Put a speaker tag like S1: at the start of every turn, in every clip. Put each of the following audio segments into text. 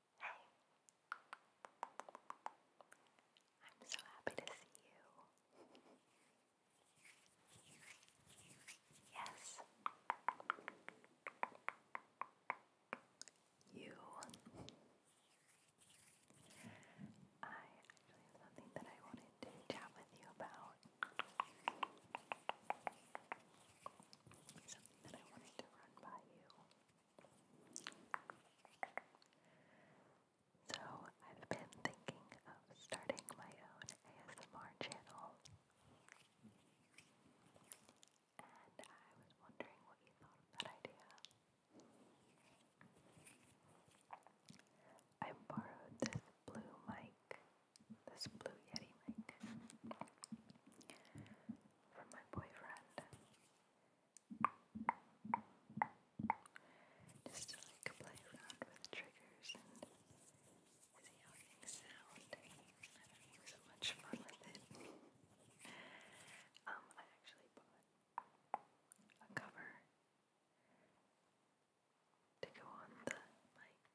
S1: Hey! I'm so happy to see you. Yes. You. I have something that I wanted to chat with you about. Something that I wanted to run by you. So, I've been thinking of starting my own ASMR channel. And I was wondering what you thought of that idea. I borrowed this blue mic, this blue Yeti mic, from my boyfriend. Just to like play around with triggers and see how things sound. I don't so much fun with it. um, I actually bought a cover to go on the mic.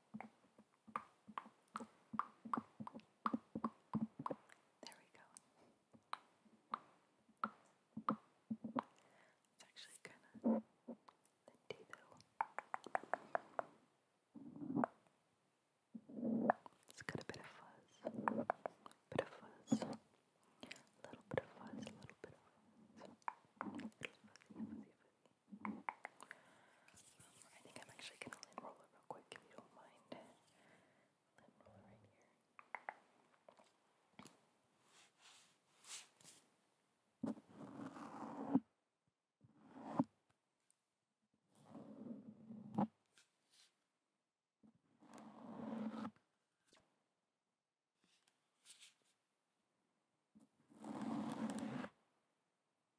S1: There we go. It's actually kind of lindy though. It's got a bit of fuzz, bit of fuzz, a little bit of fuzz, a little bit of fuzz, I think I'm actually going to lint it real quick if you don't mind. Lint roller right here.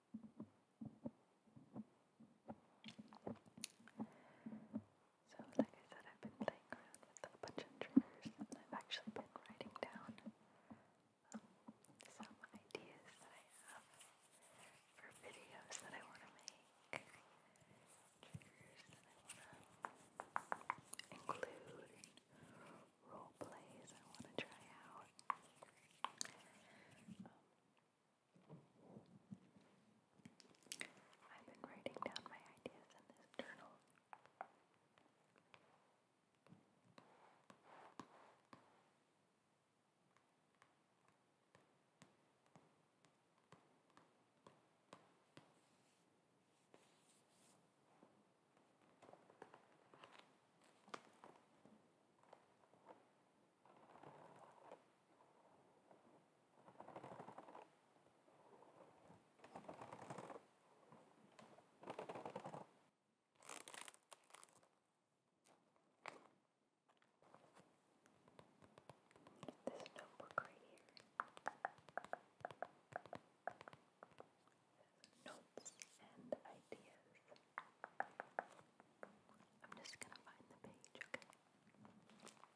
S1: So, like I said, I've been playing around with a bunch of triggers and I've actually been writing down um, some ideas that I have for videos that I want to make, triggers that I want to include, role plays I want to try out. Um, I've been writing down my ideas in this journal. This notebook right here notes and ideas. I'm just gonna find the page, okay? Right.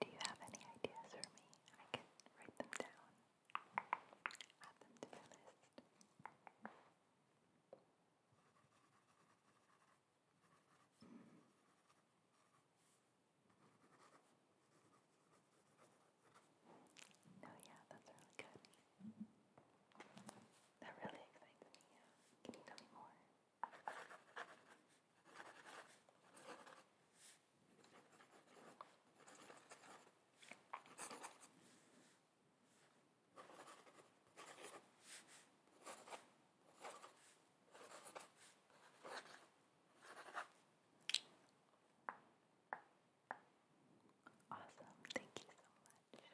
S1: Do you have any ideas for me? I can write them down, add them to the list. No, yeah, that's really good. That really excites me. Can you tell me more? Awesome. Thank you so much.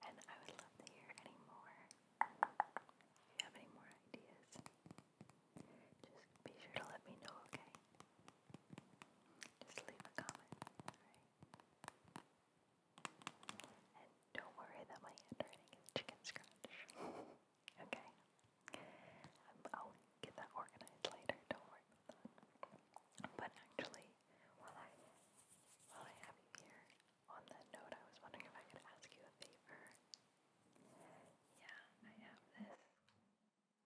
S1: Have those ideas down here. And I would love to hear any more. If you have any more ideas, just be sure to let me know, okay? Just leave a comment, and don't worry that my handwriting is chicken scratch. okay. Um, I'll get that organized later, don't worry about that. But actually, while I, while I have you here, on that note, I was wondering if I could ask you a favor. Yeah, I have this I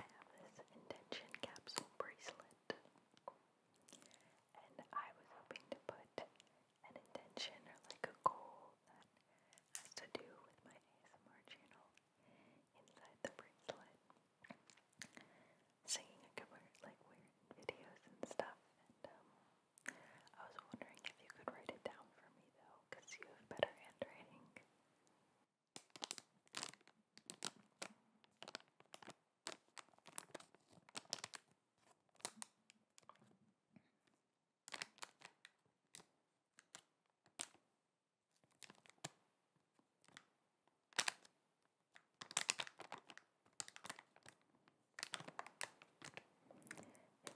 S1: have this intention capsule bracelet, and I was hoping to put an intention or like a goal that has to do with my ASMR channel inside the bracelet. Singing a couple like weird videos and stuff, and um, I was wondering if you could write it down for me though, because you have better handwriting. It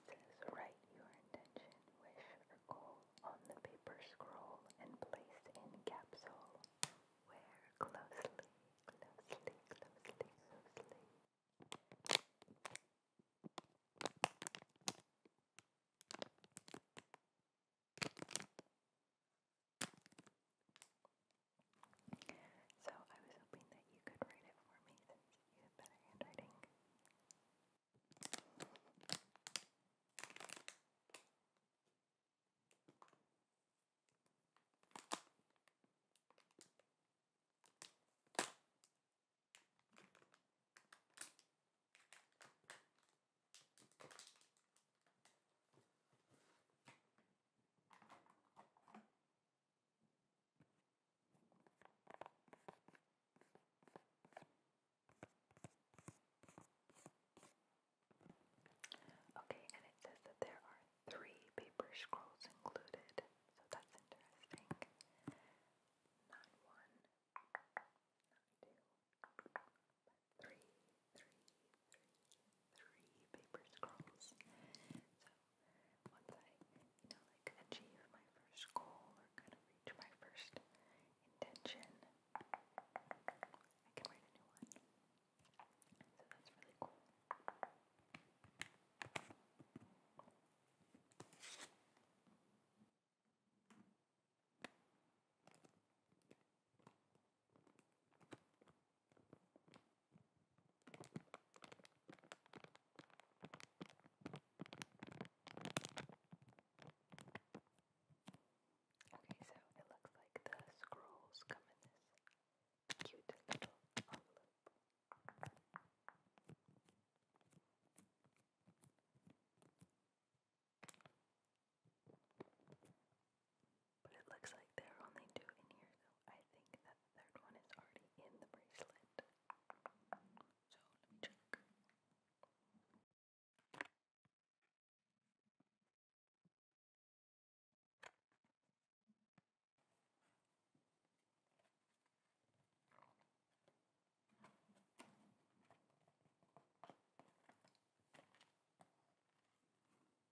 S1: says, write your intention, wish, or goal on the paper scroll and place in capsule. Wear closely, closely, closely, closely. So I was hoping that you could write it for me since you have better handwriting. Okay, and it says that there are three paper scrolls included, so that's interesting. Not paper scrolls. So once I, you know, like achieve my first goal or kind of reach my first intention, I can write a new one. So that's really cool. Okay, so it looks like the scrolls come in this cute little envelope. But it looks like they are only two in here, so I think that the third one is already in the bracelet. So let me check.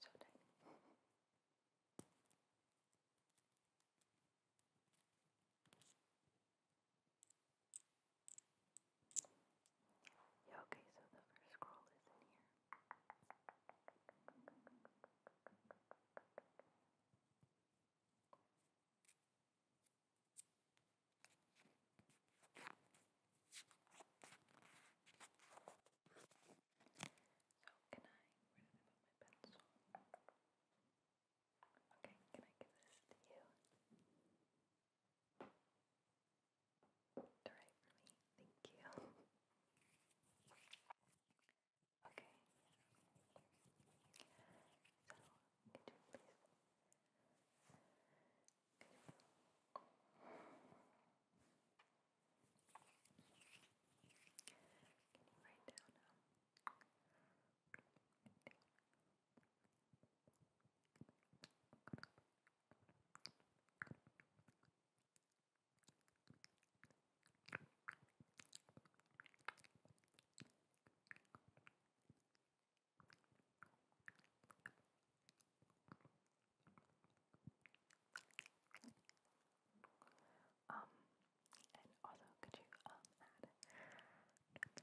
S1: So tiny. yeah, okay, so the first scroll is in here can I, where did I put my pencil? Okay, can I give this to you? To write for me? Thank you. okay. So, could you please can you write down um, Okay. Um, and also, could you um add?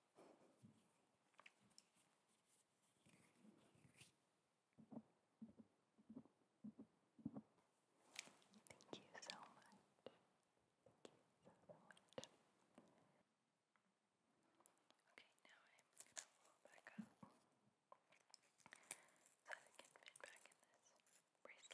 S1: Thank you so much. Thank you so, much. Okay, now I'm gonna roll back up so that can fit back in this bracelet.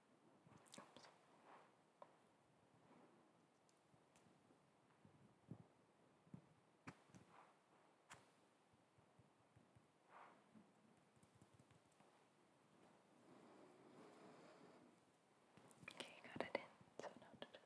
S1: Oops. Okay, you got it in, so now to just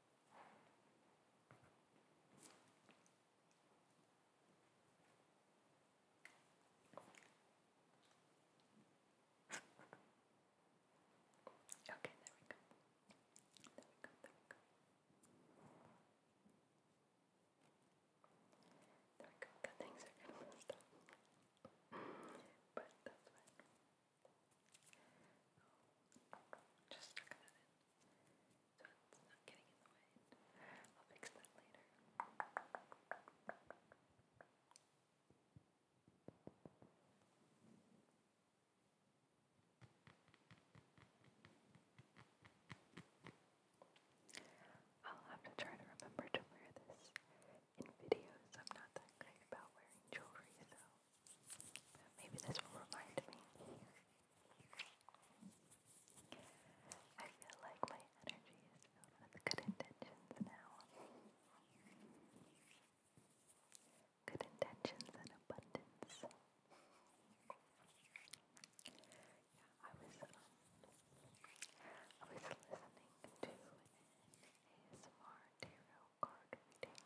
S1: Okay, there we go. There we go, there we go. things are gonna stop. but that's fine. Just stuck I'll have to try to remember to wear this in videos. I'm not that great about wearing jewelry, though. Maybe this will remind me. I feel like my energy is filled with good intentions now. Good intentions and abundance. Yeah, I was um, I was listening to an tarot card reading.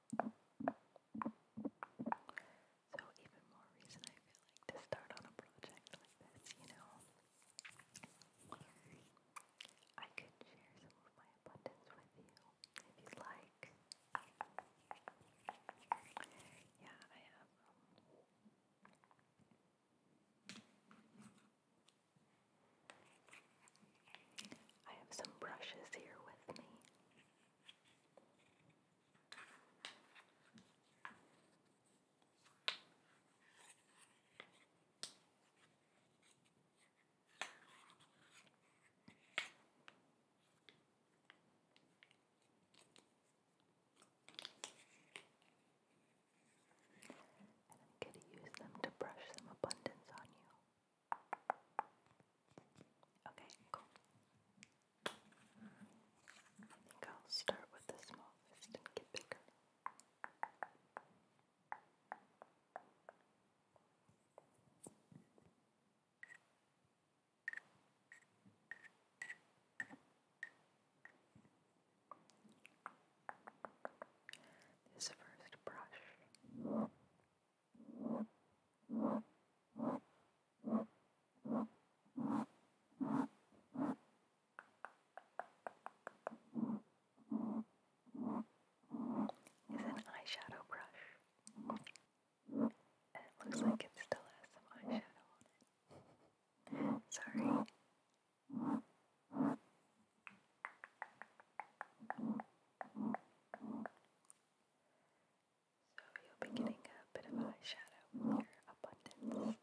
S1: So, even more reason I feel like to start on a project like this, you know. I could share some of my abundance with you if you like. Yeah, I have. Um, I have some brushes here with me. And I'm going to use them to brush some abundance on you. Okay, cool. I think I'll start with the small fist and get bigger. This first brush is an eyeshadow brush. it looks like it still has some eyeshadow on it. Sorry. So you'll be getting a bit of eyeshadow with your today.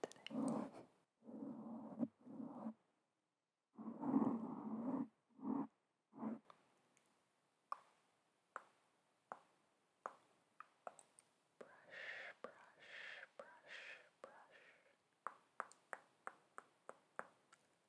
S1: Brush, brush, brush, brush.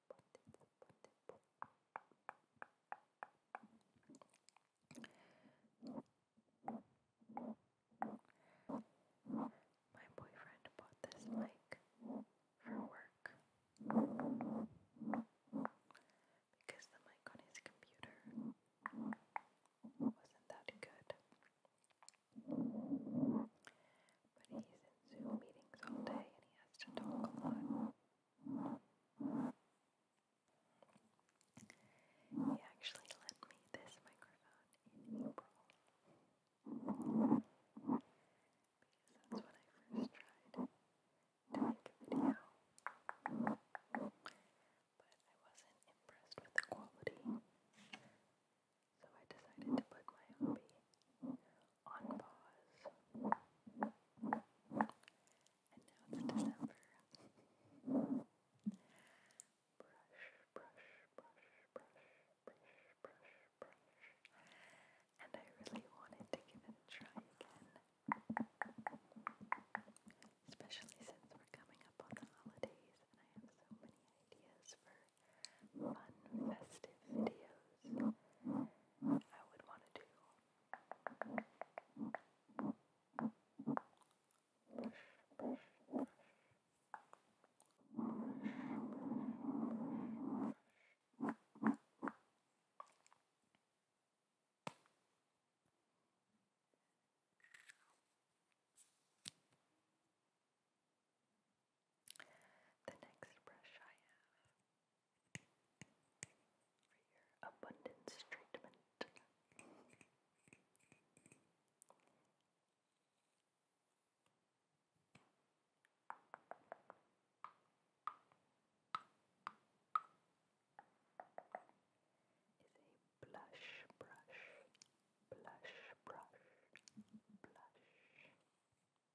S1: My boyfriend bought this mic for work because the mic on his computer wasn't that good. But he's in Zoom meetings all day and he has to talk a lot. He actually lent me this microphone in April because that's when I first tried to make a video, but I wasn't impressed with the quality, so I decided to put my hobby on pause. And now it's December. brush, brush, brush, brush, brush, brush, brush. And I really wanted to give it a try again. Especially since we're coming up on the holidays and I have so many ideas for fun festive videos I would want to do the next brush I have for your abundance treatment. Is a blush brush, blush brush, blush.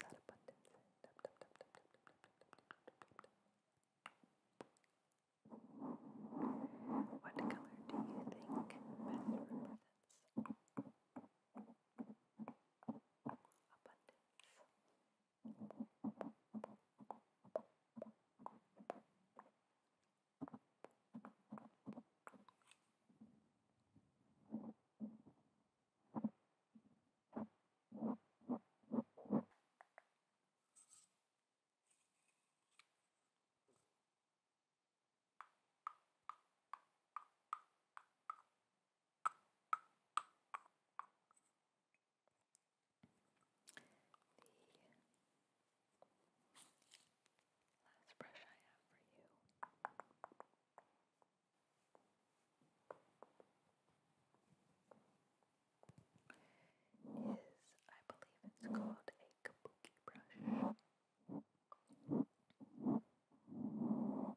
S1: Tap you What color do you think best represents abundance? The last brush I have for you is, I believe it's called a kabuki brush. And I most recently used it to apply my bronzer.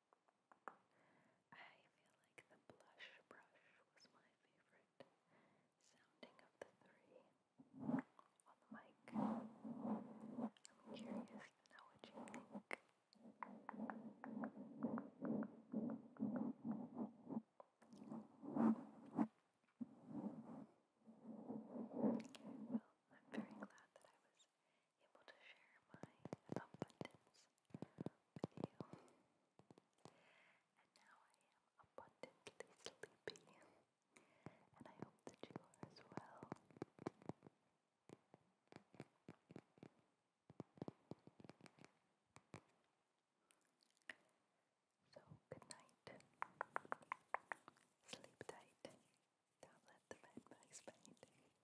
S1: I feel like the blush brush was my favorite sounding of the three on the mic. I'm curious to know what you think. Okay, well, I'm very glad that I was able to share my abundance with you. And now I am abundantly sleepy, and I hope that you as well. So, good night. Sleep tight. Don't let the bed bugs bite